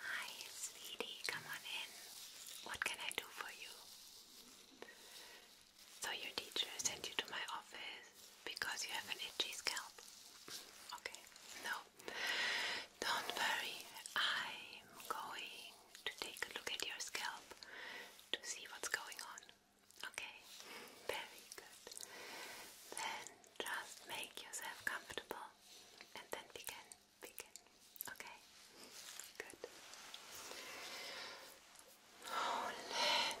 Hi, sweetie, come on in. What can I do for you? So your teacher sent you to my office because you have an itchy scalp. Okay, no, don't worry. I'm going to take a look at your scalp to see what's going on. Okay, very good. Then just make yourself comfortable and then begin. Begin. Okay, good. Hold oh, in.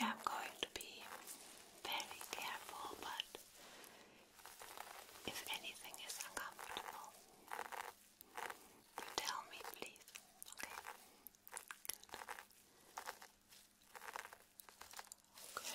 Yeah, I'm going to be very careful, but if anything is uncomfortable, you tell me, please. Okay. Okay.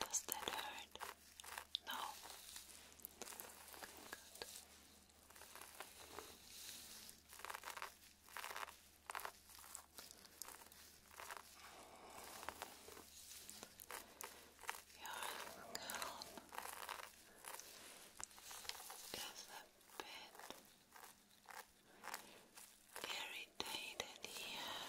Does that hurt? No. good. Your scalp is a bit irritated here.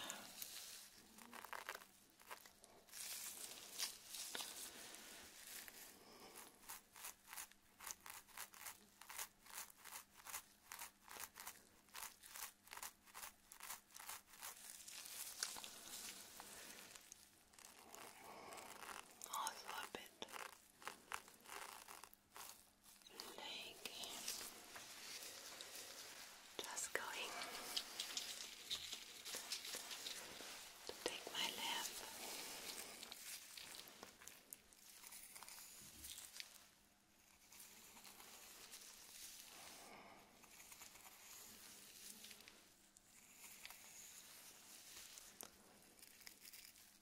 Also a bit like just going to take my lap.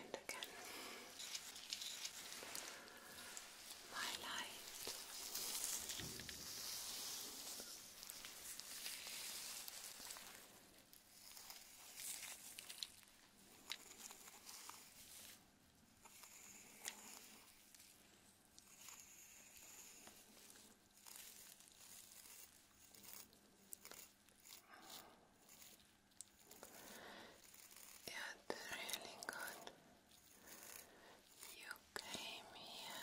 And again, my light. It's really good. You came here.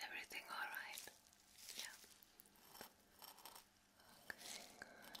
Everything all right? Yeah. Okay, good.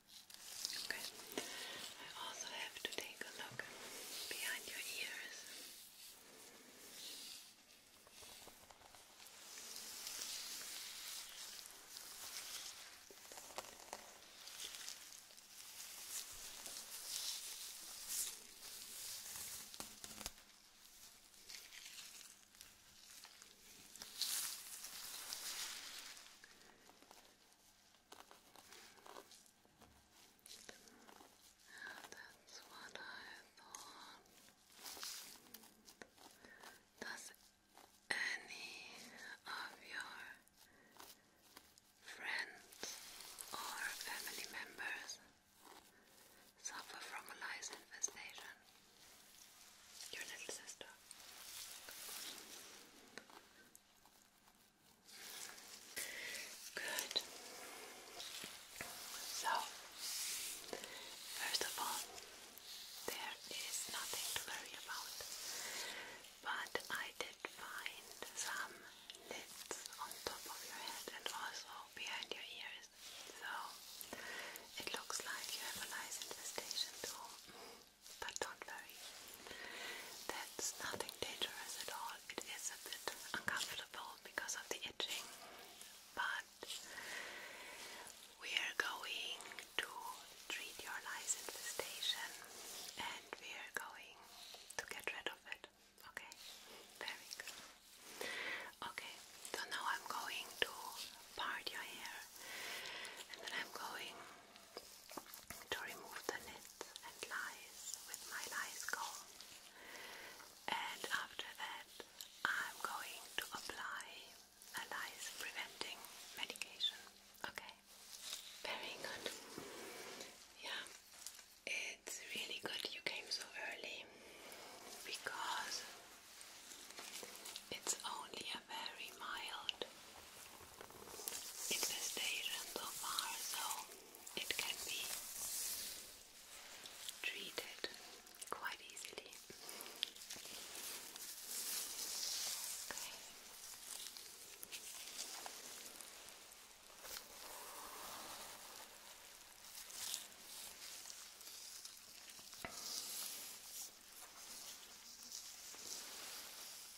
Okay. I also have to take a look behind your ears that's what I thought. Does any of your friends or family members suffer from a lice infestation? Your little sister. Good. So, first of all, there is nothing to worry about, but I did find some lids on top of your head and also behind your ears. So, it looks like you have a nice infestation too but not worry. That's nothing dangerous at all. It is a bit uncomfortable because of the itching, but we are going to treat your lice infestation and we are going to get rid of it. Okay? Very good. Okay, so now I'm going to part your hair and then I'm going to remove the nits and lies with my lice comb. And after that, I'm going to apply a lice preventing medication. Okay? Very good. Yeah, it's really good you came so early because it's only a very mild infestation so far, so it can be treated quite easily.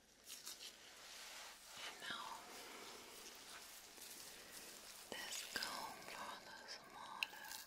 And now let's go for the smaller net.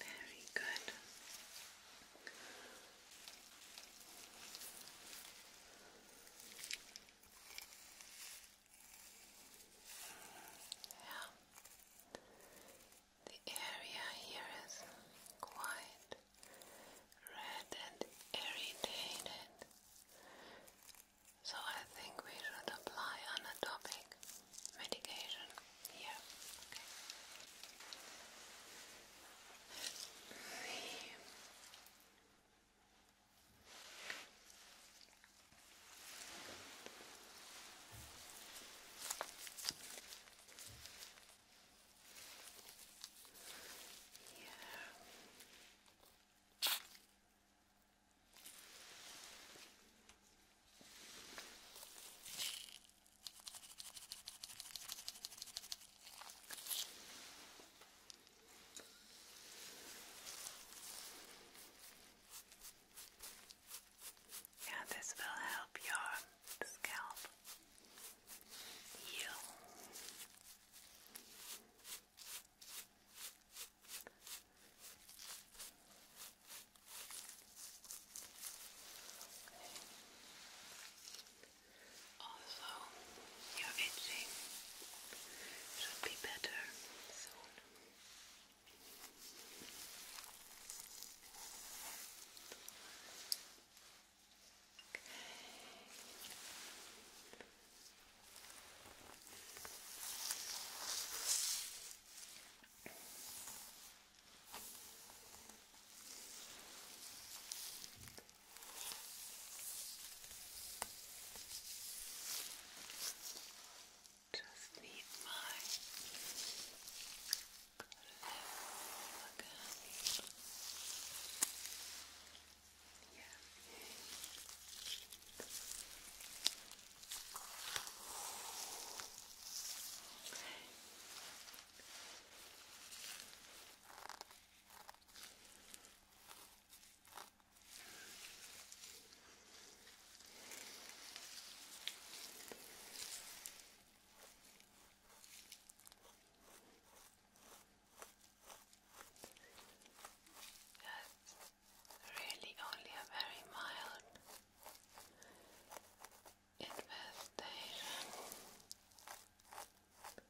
Very good. Yeah. The area here is quite red and irritated. So I think we should apply anatomic medication? Yeah, Yeah. Yeah, this will help your scalp heal. Okay. Also, your itching should be better soon. Just need my left again. Yeah. Okay. That's really only a very mild Investigation. That's good.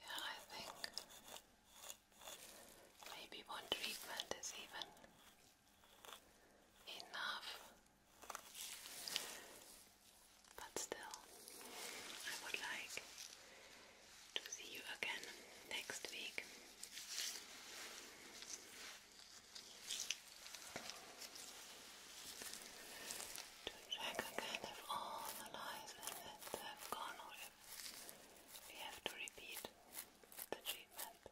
Yeah, I think maybe one treatment is even enough. But still, I would like to see you again next week. To check again if all the lies and myths have gone or if we have to repeat the treatment.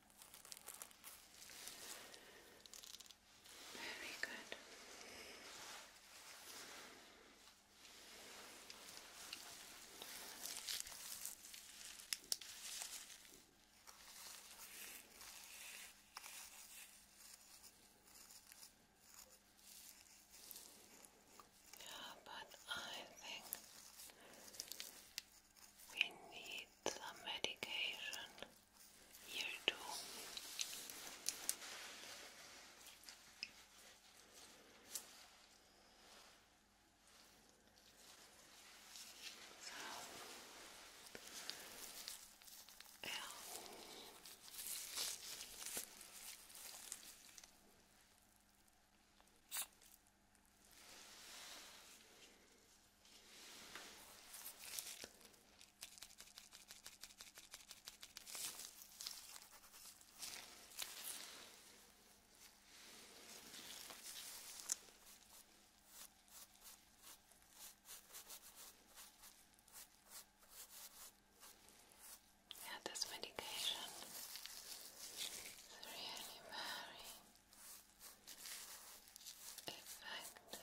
Very good. Yeah, but I think we need some medication here too. So, yeah, this medication is really very effective.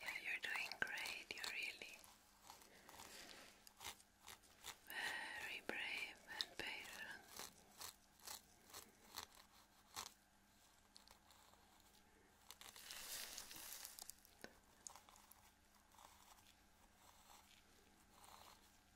Yeah, you're doing great. You're really very brave and patient.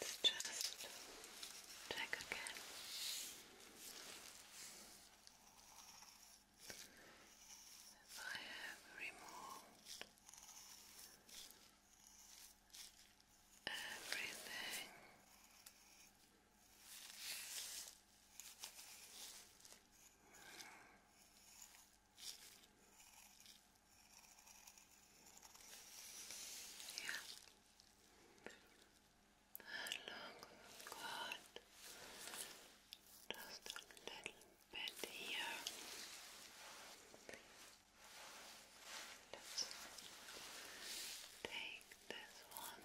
Let's just check again. If I have removed everything. Hmm. Yeah, and look, we've got little bit here. Let's take this one.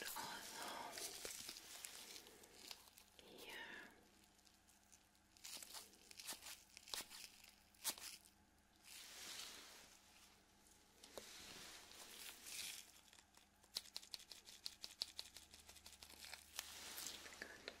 and also here. Good. Good.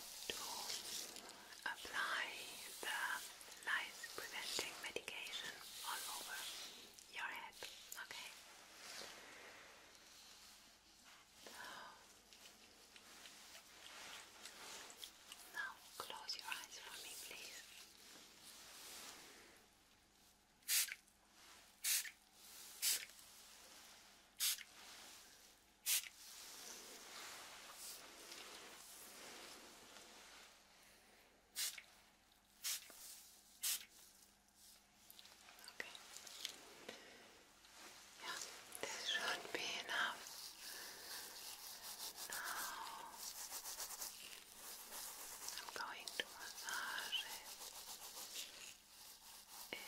to apply the lice preventing medication all over your head. Okay. Now close your eyes for me, please. Okay. Yeah, this should be enough. Now I'm going to massage it in.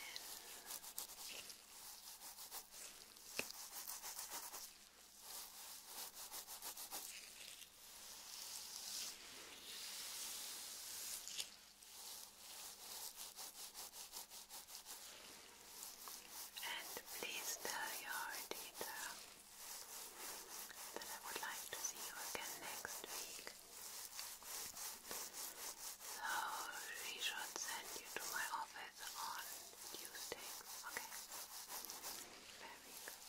And please tell your teacher that I would like to see you again next week. So she should send you to my office on Tuesday. Okay. Very good.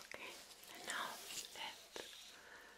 Okay, now let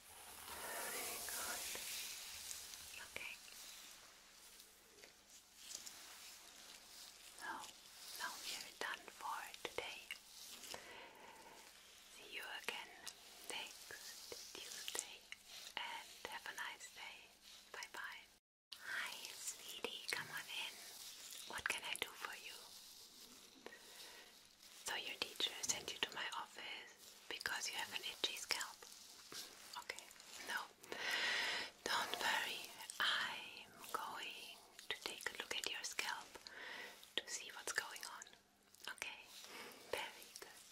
Okay. So, now we are done for today. See you again next Tuesday and have a nice day. Bye bye. Hi, sweetie, come on in. What can I do for you? So, your teacher sent you to my office because you have an itchy scalp. Okay, no, don't worry. I'm going to take a look at your scalp to see what's going on. Okay, very good.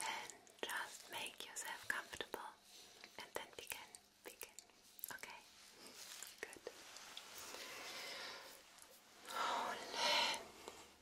Then just make yourself comfortable and then begin. Begin. Okay, good. Oh,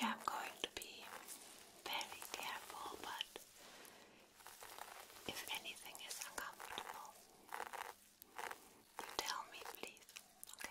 Yeah, I'm going to be very careful, but if anything is uncomfortable, you tell me, please. Okay.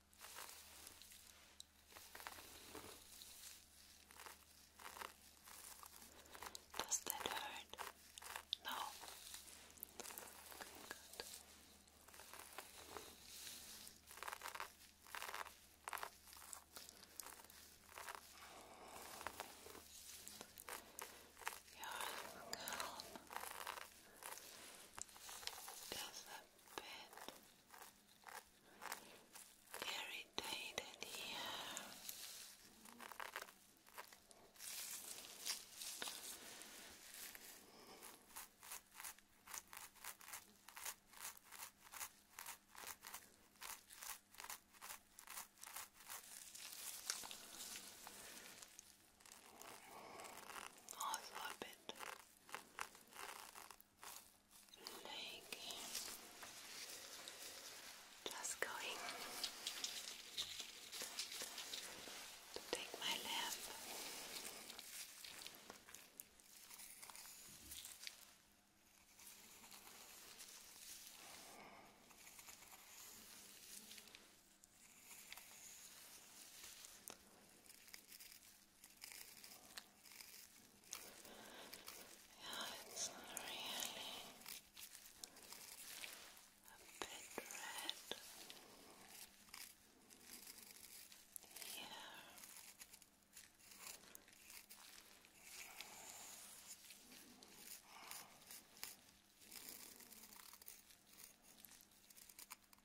Does that hurt? No. good. Your calm is a bit irritated here. Also a bit like just going to take my lamp. Yeah, it's really a bit red here. Yeah.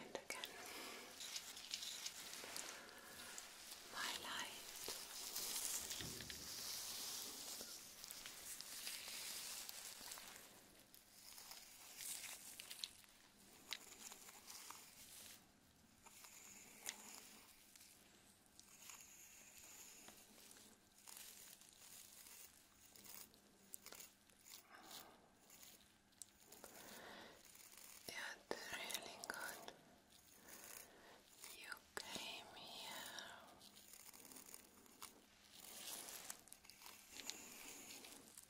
And again, my light. It's really good. You came here.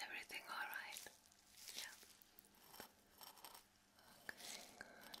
Everything all right? Yeah. Okay, good.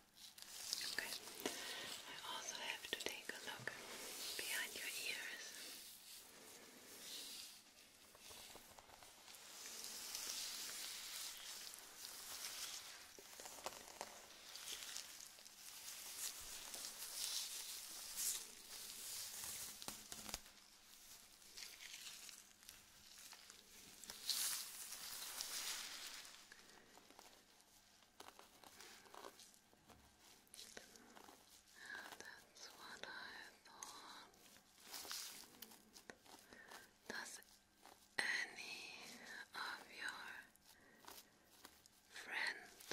Okay. I also have to take a look behind your ears. That's what I thought. Does any of your friends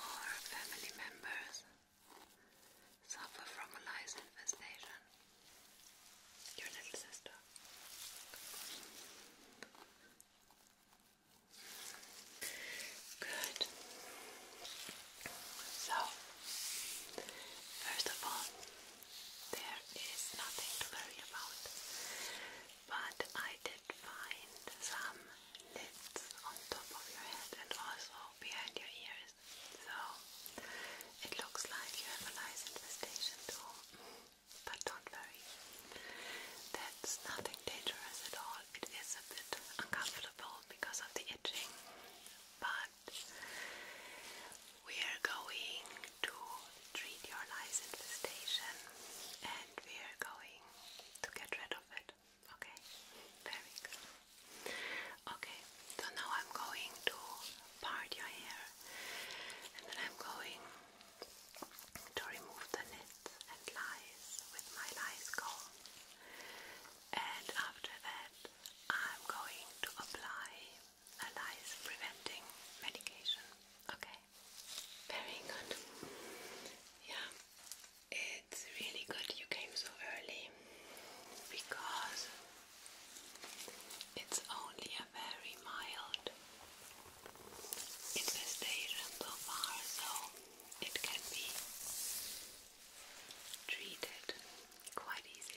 or family members suffer from a lice infestation? Your little sister. Good. So, first of all, there is nothing to worry about, but I did find some lids on top of your head and also behind your ears. So, it looks like you have a nice infestation too but don't worry. That's nothing dangerous at all. It is a bit uncomfortable because of the itching, but we are going to treat your lice infestation and we are going to get rid of it. Okay? Very good. Okay, so now I'm going to part your hair and then I'm going to remove the nits and lies with my lice comb. And after that, I'm going to apply a lice preventing medication. Okay? Very good. Yeah, it's really good you came so early because it's only a very mild infestation so far, so it can be treated quite easily.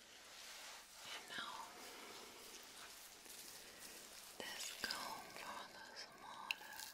And now let's go for the smaller net.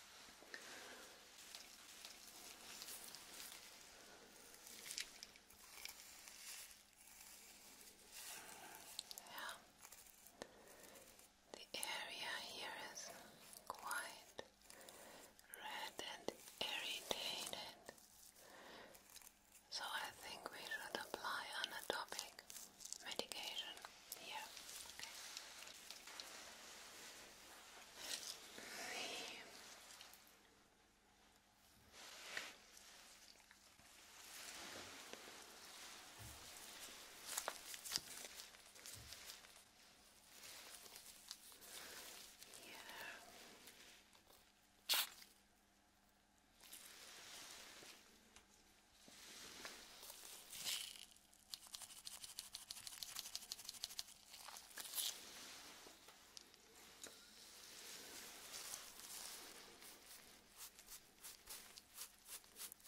Yeah. The area here is quite red and irritated. So I think we should apply on topic medication? Yeah, Yeah.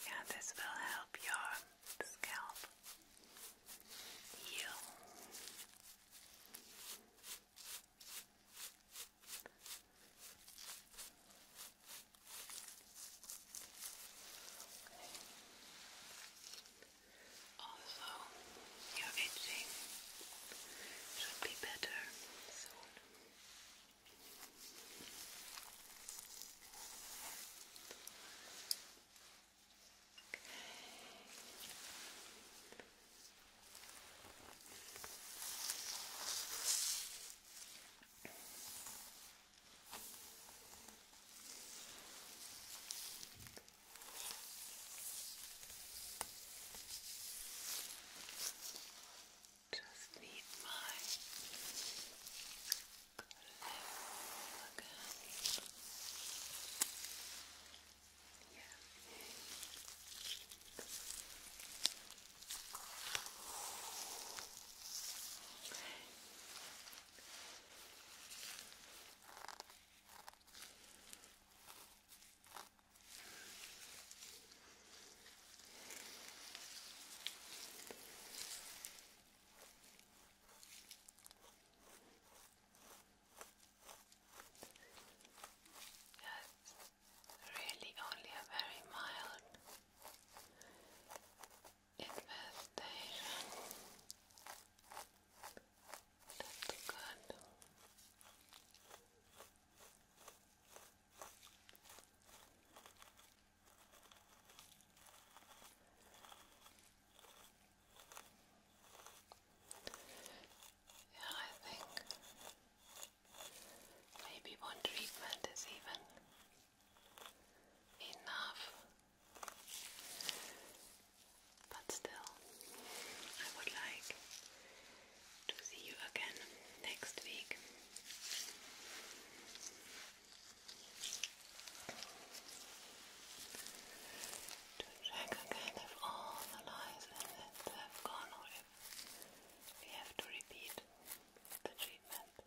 Yeah, this will help your scalp heal. Also, your itching should be better soon. Just need my glue again. Yeah. Yes, really only a very mild infestation. That's good. Yeah, I think maybe one treatment is even enough. But still, I would like to see you again next week. To check again if all the lies and myths have gone or if we have to repeat the treatment.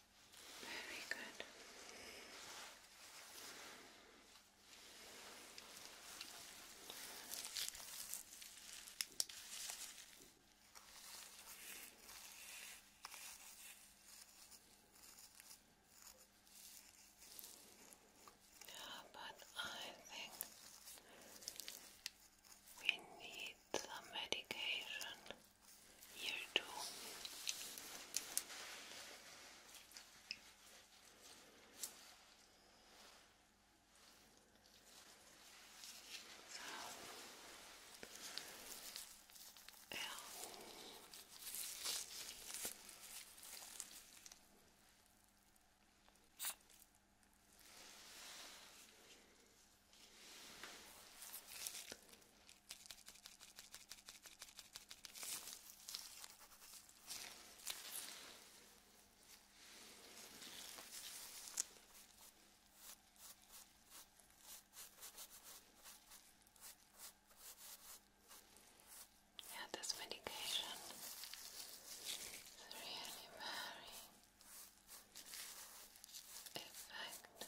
Very good. Yeah, but I think we need some medication here too. So, yeah, this medication is really very effective.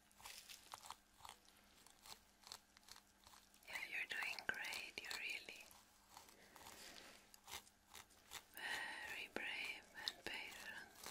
Yeah, you're doing great. You're really very brave and patient.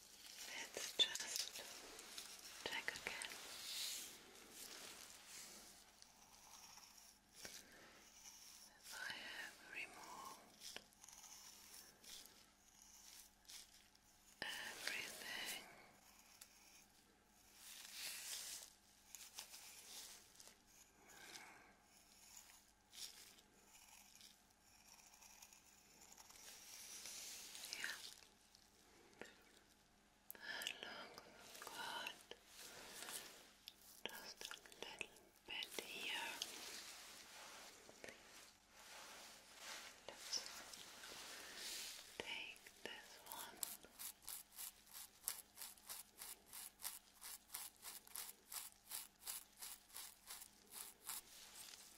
Let's just check again. I have removed everything. Hmm. Yeah along the just a little bit here. Let's take this one.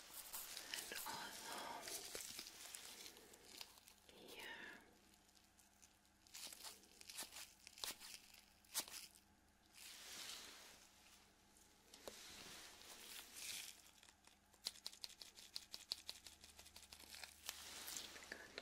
and also here. Good. Good.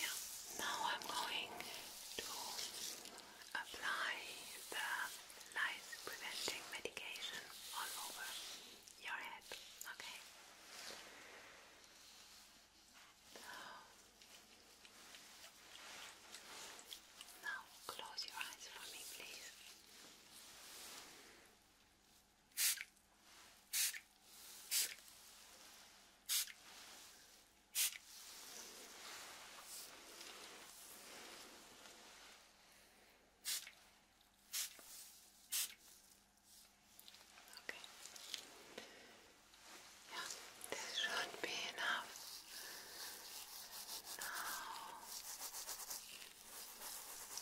Yeah. Now I'm going to apply the lice preventing medication all over your head. Okay. Now close your eyes for me, please. Okay. Yeah, this should be enough. Now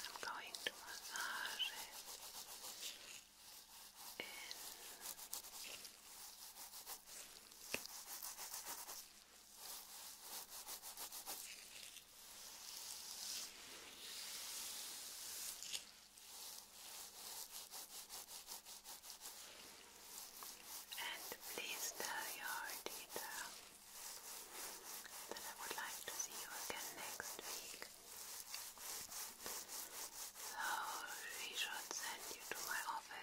I'm going to massage and please tell your teacher that I would like to see you again next week. So she should send you to my office.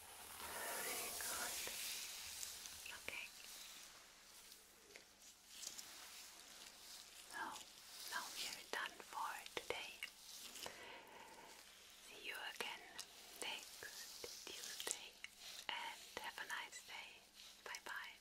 Very good. Okay. So, now we are done for today. See you again next Tuesday and have a nice day. Bye bye.